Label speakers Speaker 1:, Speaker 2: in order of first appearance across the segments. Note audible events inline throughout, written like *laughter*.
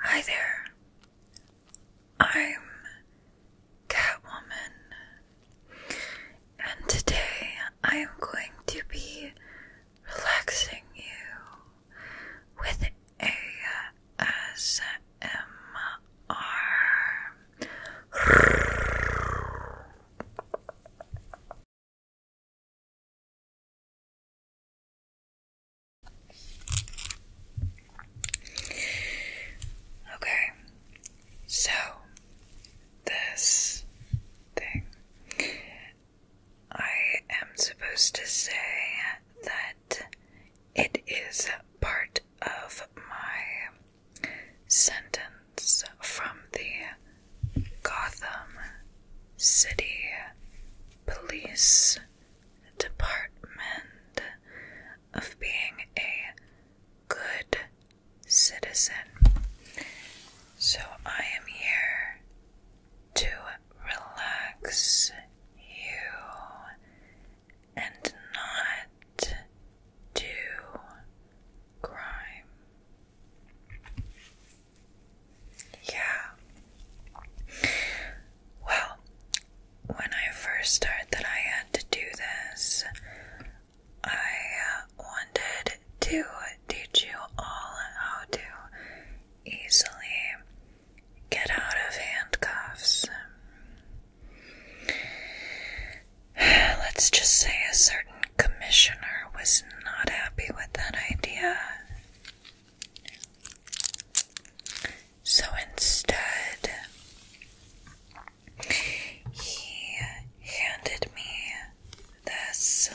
Speaker 1: Hi there. I'm Catwoman, and today I am going to be relaxing you with ASMR. Okay, so this thing. I am supposed to say that it is part of my sentence from the Gotham City Police Department of being a good citizen. So I am here to relax you and not do crime. Yeah. Well, when I first started I had to do this, I uh, wanted to teach you all how to easily get out of handcuffs. Let's just say a certain commissioner was not happy with that idea, so instead, he handed me this,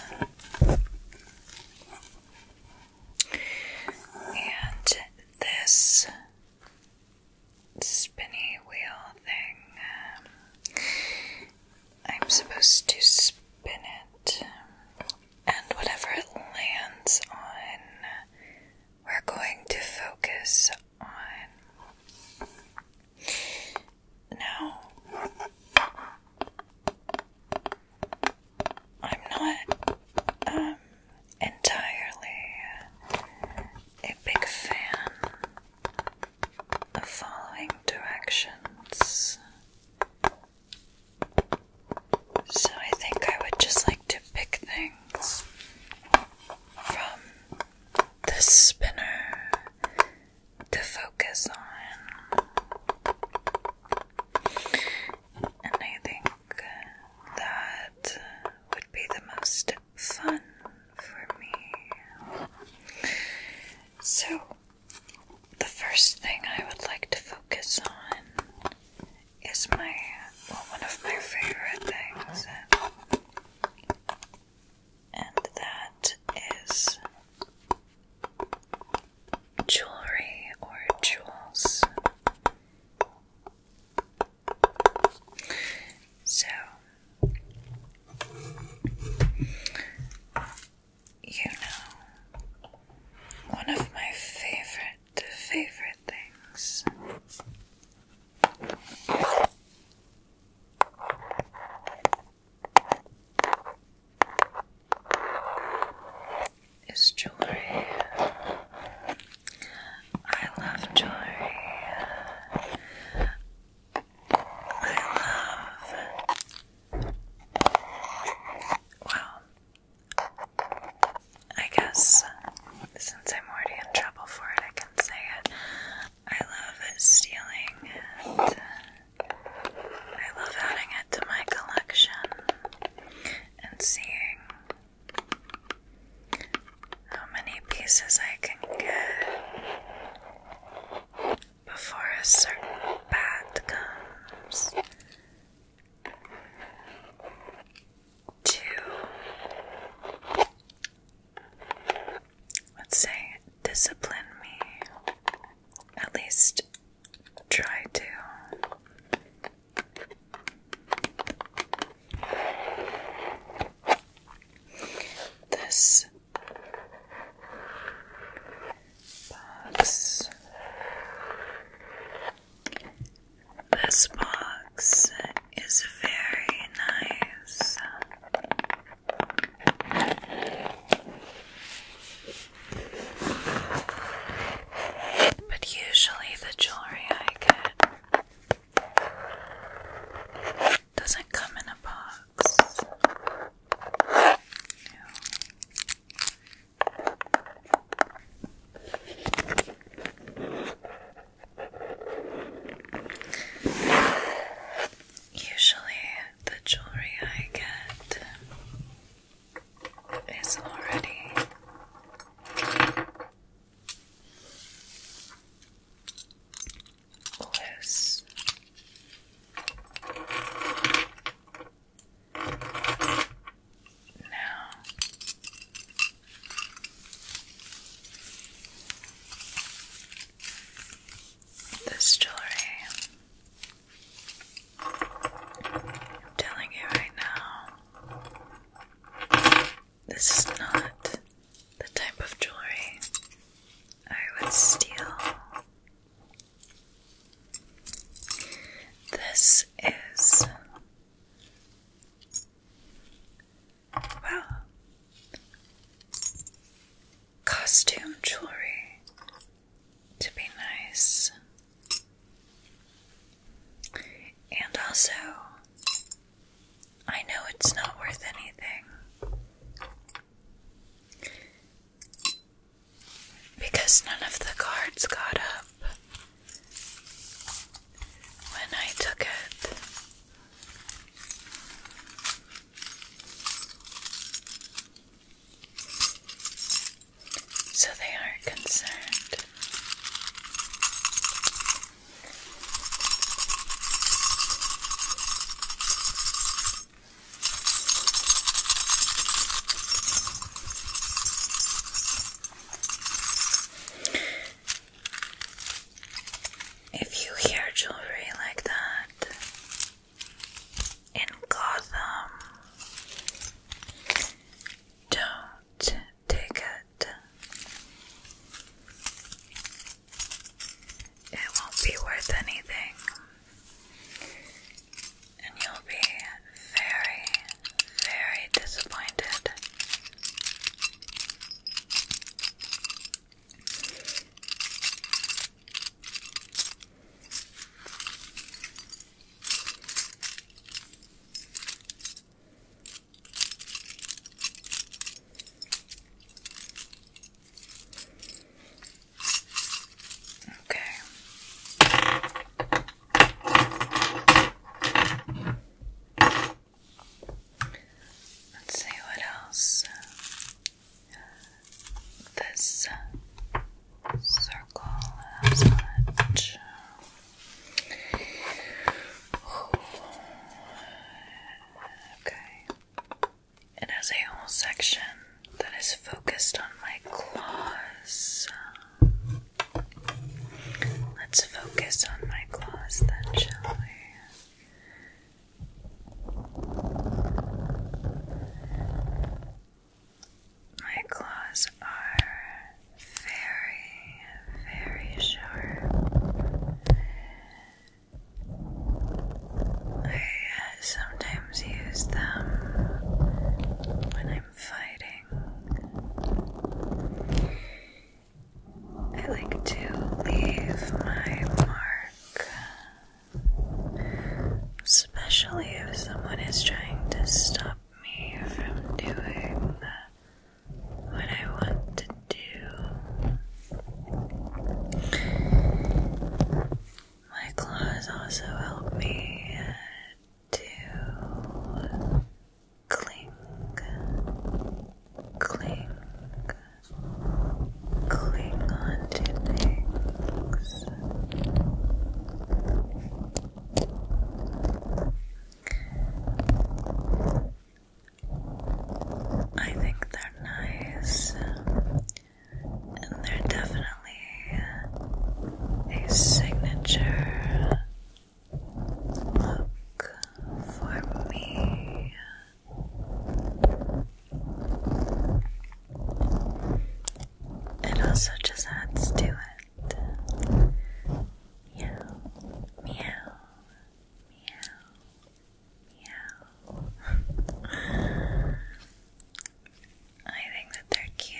Speaker 1: and this spinny wheel thing I'm supposed to spin it, and whatever it lands on, we're going to focus on. Now, I'm not um, entirely a big fan of following directions so I think I would just like to pick things from the spinner to focus on. And I think that would be the most fun for me. So the first thing I would like to focus on is my one of my favorite things, and that is jewelry or jewels. So, you know, one of my favorite, favorite things is jewelry. I love jewelry. I love well, I guess since I'm already in trouble for it, I can say it. I love stealing I love adding it to my collection and seeing how many pieces I can get before a certain bad comes to, let's say, discipline me, at least try to. This box. This box is very nice. But usually the jewelry I get doesn't come in a box. Usually, the jewelry I get is already loose now, this jewelry, I'm telling you right now, this is not the type of jewelry I would steal this is well costume jewelry to be nice and also I know it's not worth anything because none of the guards got up when I took it. So they aren't concerned. If you hear jewelry like that in Gotham, don't take it. It won't be worth anything. And you'll be very, very disappointed. Okay. Let's see what else. Uh, this uh, circle has Okay. It has a whole section that is focused on my claws. Let's focus on my claws then, shall we? My claws are very, very sharp. I sometimes use them when I'm fighting. I like to leave my mark, especially if someone is trying to stop me from doing what I want to do. My claws also help me to cling, cling, cling on things. I think they're nice and they're definitely a signature look for me. It also just adds to it. Meow, meow, meow, Meow. *laughs* I think that they're cute.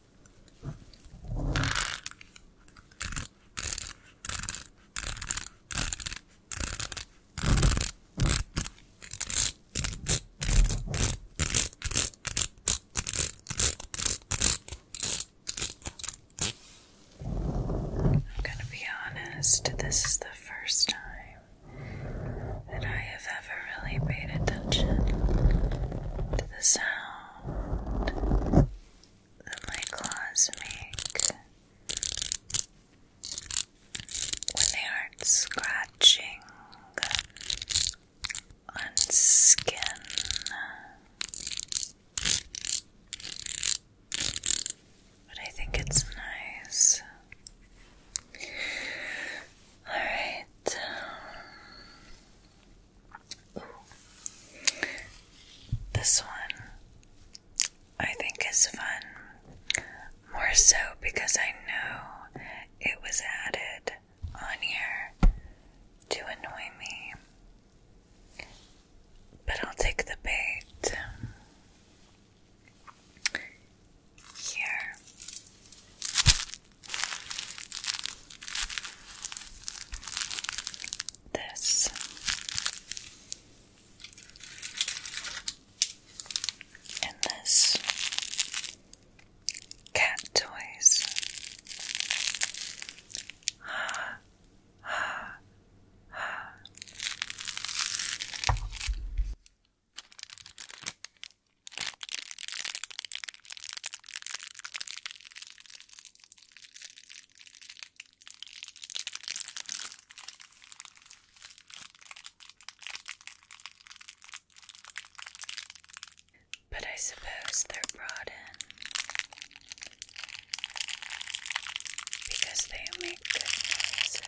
Speaker 1: I'm going to be honest, this is the first time that I have ever really paid attention to the sound that my claws make when they are scratching on skin. But I think it's nice. Alright. This one I think is fun. More so because I know it was added on here to annoy me. But I'll take the bait. Here this. And this cat toys. But I suppose they're brought in because they make good noises.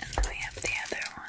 Speaker 1: And then we have the other one.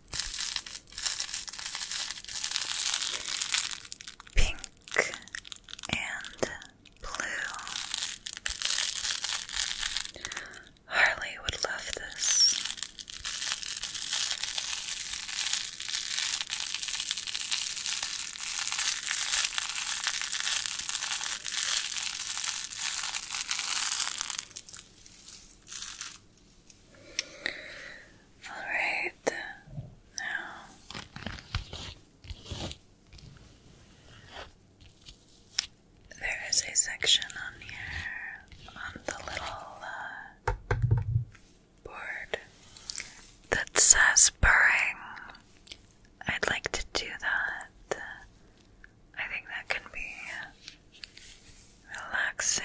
Speaker 1: pink and blue. Harley would love this. All right, now there is a section on here on the little uh, board that says purring. I'd like to do that I think that can be relaxing.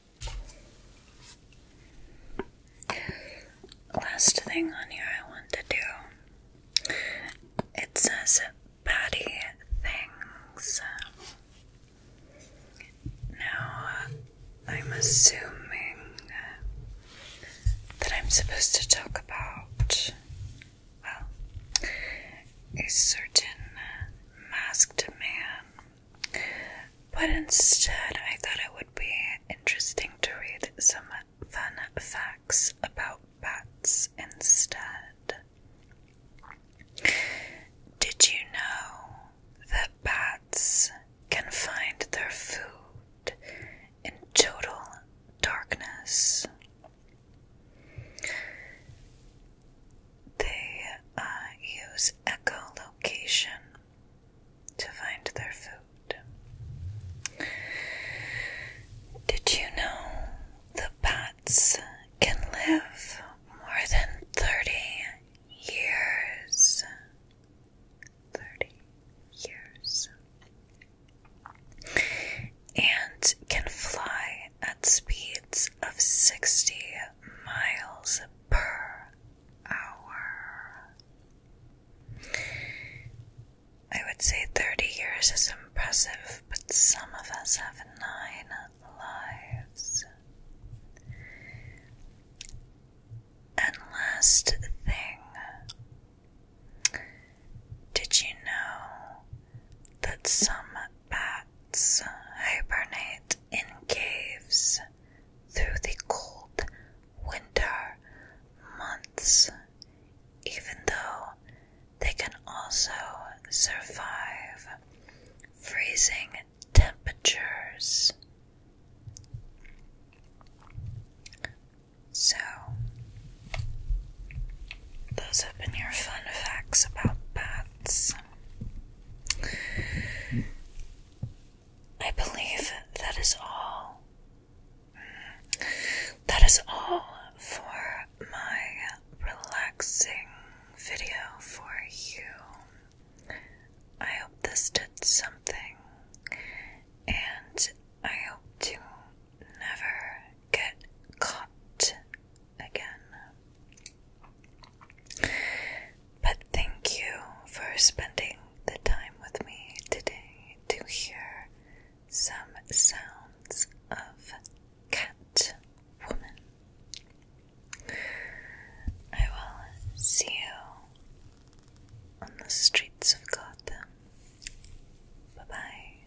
Speaker 1: Last thing on here I want to do. It says patty things. Now, I'm assuming that I'm supposed to talk about, well, a certain masked man but instead, I thought it would be interesting to read some fun facts about bats instead. Did you know that bats can find their food in total darkness? They uh, use echolocation to find their food. Did you know the bats can live more than 30 years? 30 years. And can fly at speeds of 60 miles per hour. I would say 30 years is impressive, but some of us have nine lives. And last thing, did you know that some bad hibernate in caves through the cold winter months, even though they can also survive freezing temperatures. So, those have been your fun facts about bats. I believe that is all. That is all for my relaxing video for you. I hope this did something, and I hope to never get caught again. But thank you for spending the time with me today to hear some sounds of Cat Woman. I will see you on the streets of Gotham. Bye bye.